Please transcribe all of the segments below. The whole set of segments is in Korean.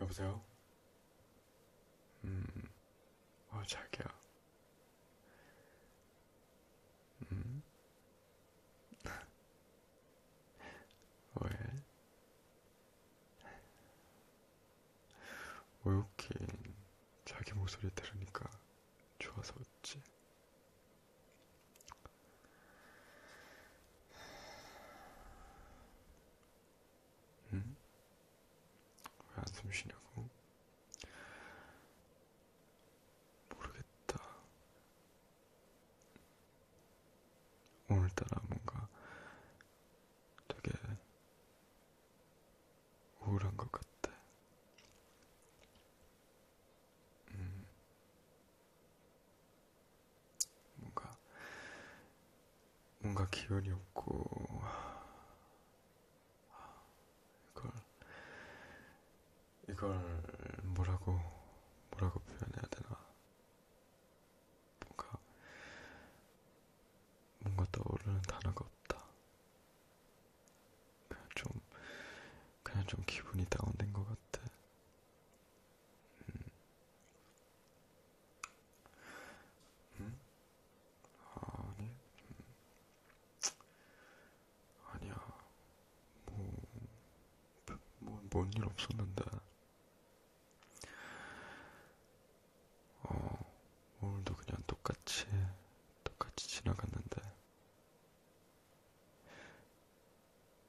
여보세요? 음, 어, 자기야. 음? 왜? 오유킨 자기 목소리 들으니까 좋아서 웃지. 응? 왜 안숨 쉬냐고? 모르겠다. 오늘따라 뭔가 되게 우울한 것 같아. 음, 뭔가, 뭔가 기운이 없고, 이걸 이걸 뭐라고 뭐라고 표현해야 되나 뭔가 뭔가 떠오르는 단어가 없다 그냥 좀 그냥 좀 기분이 다운된 것 같아 음. 음? 아니 음. 아니야. 뭐, 뭐, 뭔 일 없었는데. 어, 오늘도 그냥 똑같이, 똑같이 지나갔는데.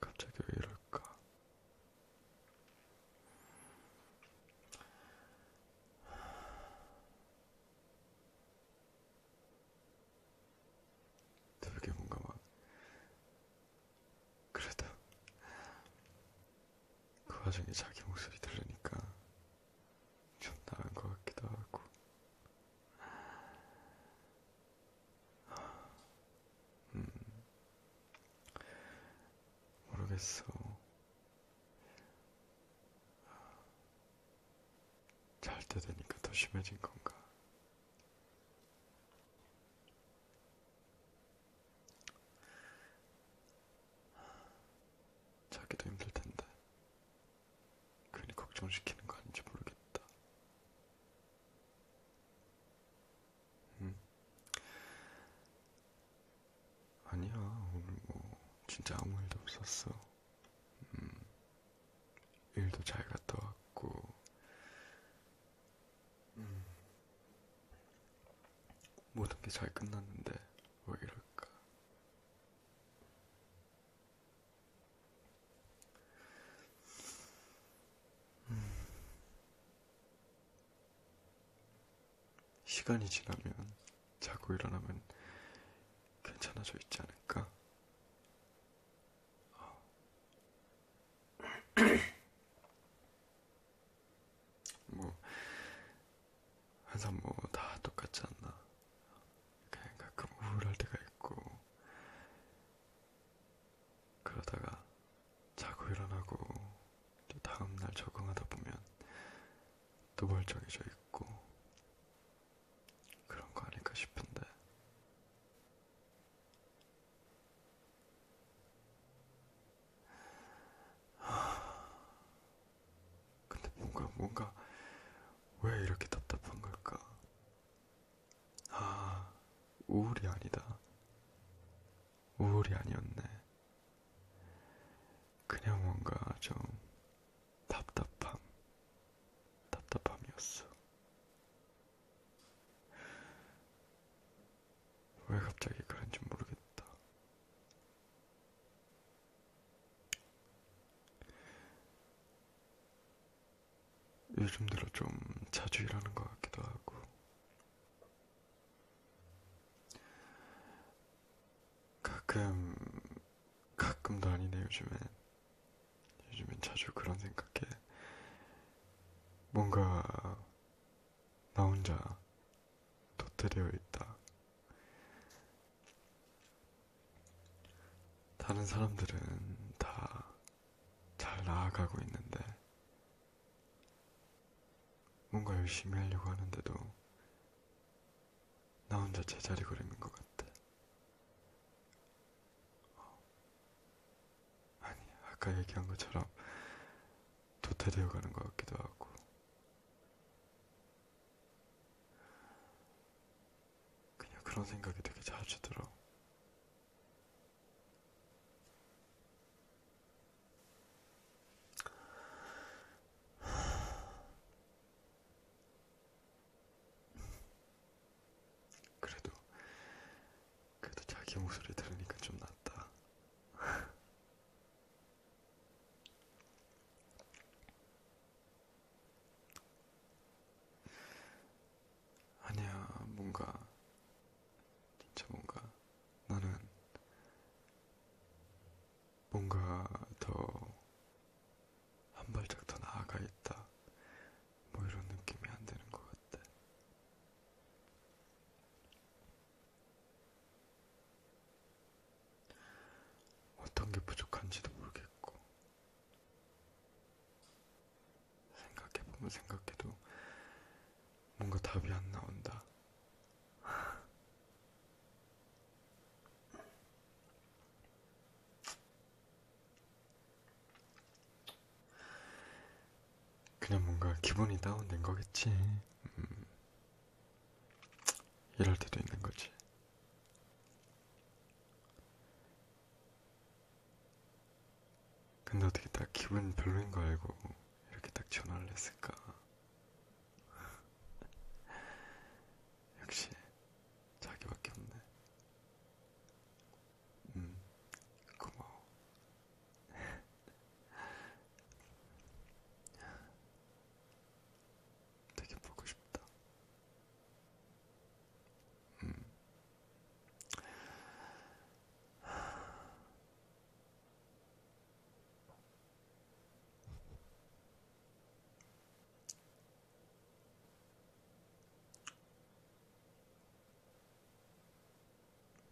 갑자기 왜 이럴까? 되게 뭔가 막 그래도 그 와중에 자기 목소리 들으니까 좀 나은 것 같기도 하고 음 모르겠어 잘 때 되니까 더 심해진 건가 자기도 힘들 텐데 괜히 걱정시키는 거 아닌지 모르겠다. 응? 음? 아니야 오늘 뭐 진짜 아무 일도 없었어. 음, 일도 잘 갔다 왔고, 음, 모든 게 잘 끝났는데, 왜 이럴까? 음, 시간이 지나면 자고 일어나면 괜찮아져 있지 않을까? 아. 뭐 항상 뭐 다 똑같지 않나 그냥 가끔 우울할 때가 있고 그러다가 자고 일어나고 또 다음날 적응하다 보면 또 멀쩡해져 있고 그런 거 아닐까 싶은데. 근데 뭔가, 뭔가, 왜 이렇게 답답한 걸까? 아, 우울이 아니다. 우울이 아니었네. 그냥 뭔가 좀 답답함, 답답함이었어. 왜 갑자기 그런지 모르겠다. 요즘 들어 좀 자주 일하는 것 같기도 하고, 가끔 가끔도 아니네 요즘엔 요즘엔 자주 그런 생각해 뭔가 나 혼자 도태되어 있다 다른 사람들은 다 잘 나아가고 있는데 뭔가 열심히 하려고 하는데도 나 혼자 제자리 걸음인 것 같아. 어. 아니, 아까 얘기한 것처럼 도태되어 가는 것 같기도 하고. 그냥 그런 생각이 되게 자주 들어. 그래도 그래도 자기 목소리 들으니까 좀 낫다. 아니야, 뭔가 진짜 뭔가 나는 뭔가 더 한 발짝 더 나아가 있다. 뭐 이런 느낌이 안 드는 것 같아. 어떤 게 부족한지도 모르겠고, 생각해보면 생각해도 뭔가 답이 안 나온다. 그냥 뭔가 기분이 다운된 거겠지. 음. 이럴 때도 있는 거지. 근데 어떻게 딱 기분 별로인 거 알고 이렇게 딱 전화를 했을까? 역시 자기밖에 없네. 음, 고마워. 되게 보고 싶다. 음.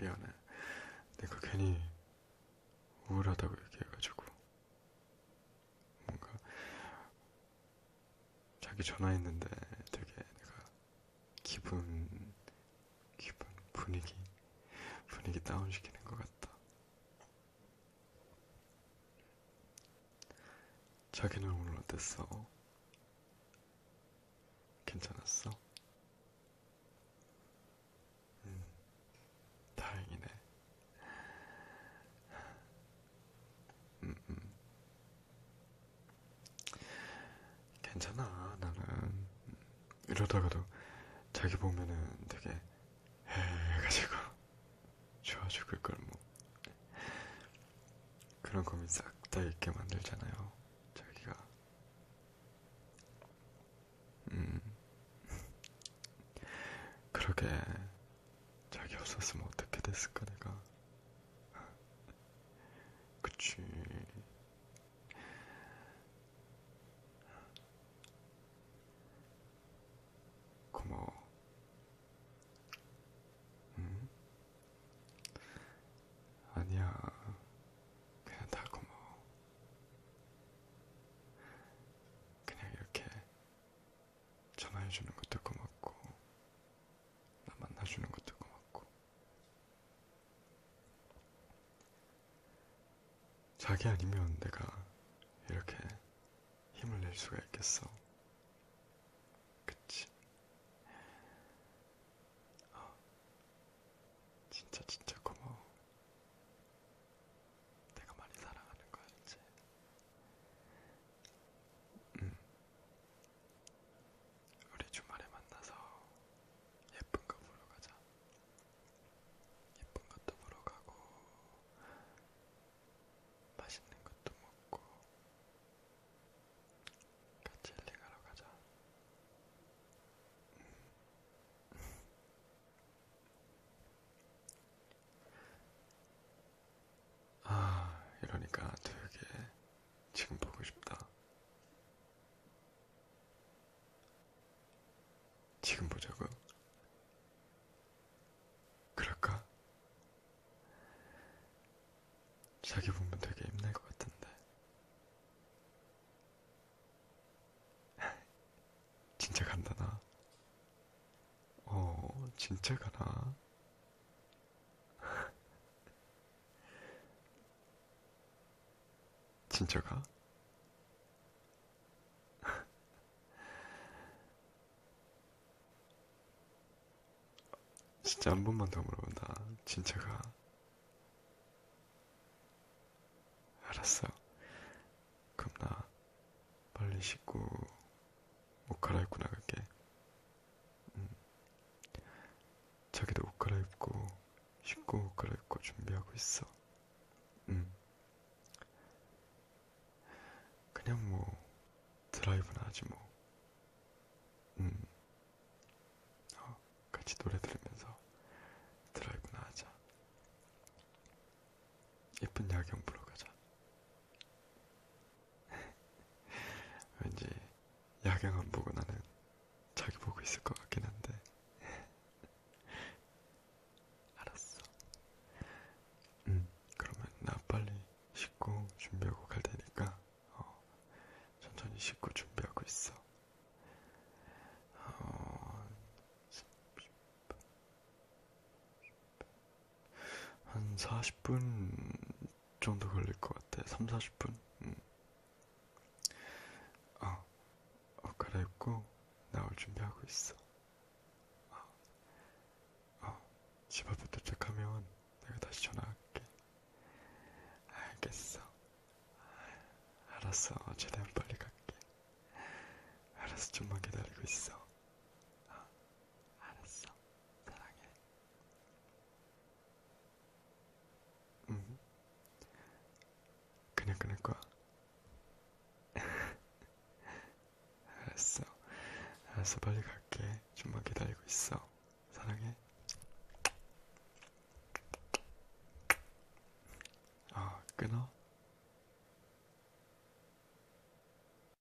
미안해. 내가 괜히 우울하다고 얘기해가지고. 뭔가, 자기 전화했는데 되게 내가 기분 기분, 분위기, 분위기 다운시키는 것 같다. 자기는 오늘 어땠어? 괜찮았어? 음, 다행이네. 음, 음. 괜찮아 나는 이러다가도 자기 보면은 되게 해가지고 좋아 죽을 걸 뭐 그런 고민 싹 다 있게 만들잖아요 자기가 음 그러게 자기 없었으면 어떻게 됐을까 내가 그치 고마워. 응? 음? 아니야. 그냥 다 고마워. 그냥 이렇게 전화해주는 것도 고맙고, 나 만나주는 것도 고맙고, 자기 아니면 내가 이렇게 힘을 낼 수가 있겠어. 그치? 어, 진짜 진짜 고마워. 내가 많이 사랑하는 거 알지? 음, 우리 주말에 만나서 예쁜 거 보러 가자. 예쁜 것도 보러 가고, 맛있는 것도 먹고, 같이 힐링하러 가자. 음. 아, 이러니까 되게 지금 보고 싶다. 지금 보자고요? 그럴까? 자기 보면 되게 힘날 것 같은데. 진짜 간다, 나. 어, 진짜 가나? 진짜 가? 진짜 한 번만 더 물어본다. 진짜 가? 알았어. 그럼 나 빨리 씻고 옷 갈아입고 나갈게. 음, 자기도 옷 갈아입고 쉽고 옷 갈아입고 준비하고 있어. 음. 그냥 뭐 드라이브나 하지 뭐. 음. 어, 같이 노래 들으면서 드라이브나 하자. 예쁜 야경 보러 가자. 왠지 야경 안 보고 나는 자기 보고 있을 것 같긴 한데 알았어 음 그러면 나 빨리 씻고 준비하고 갈 테니까 어, 천천히 씻고 준비하고 있어 어, 한 40분 정도 걸릴 것 같아. 3, 40분? 음. 아, 어, 갈아입고 나올 준비하고 있어. 아, 아, 집 앞에 도착하면 내가 다시 전화할게. 알겠어. 알았어. 최대한 빨리 갈게. 알았어. 좀만 기다리고 있어. 아, 알았어. 사랑해. 음. 그냥 끊을 거야. 알았어. 알았어, 빨리 갈게. 좀만 기다리고 있어. 사랑해. 아, 어, 끊어.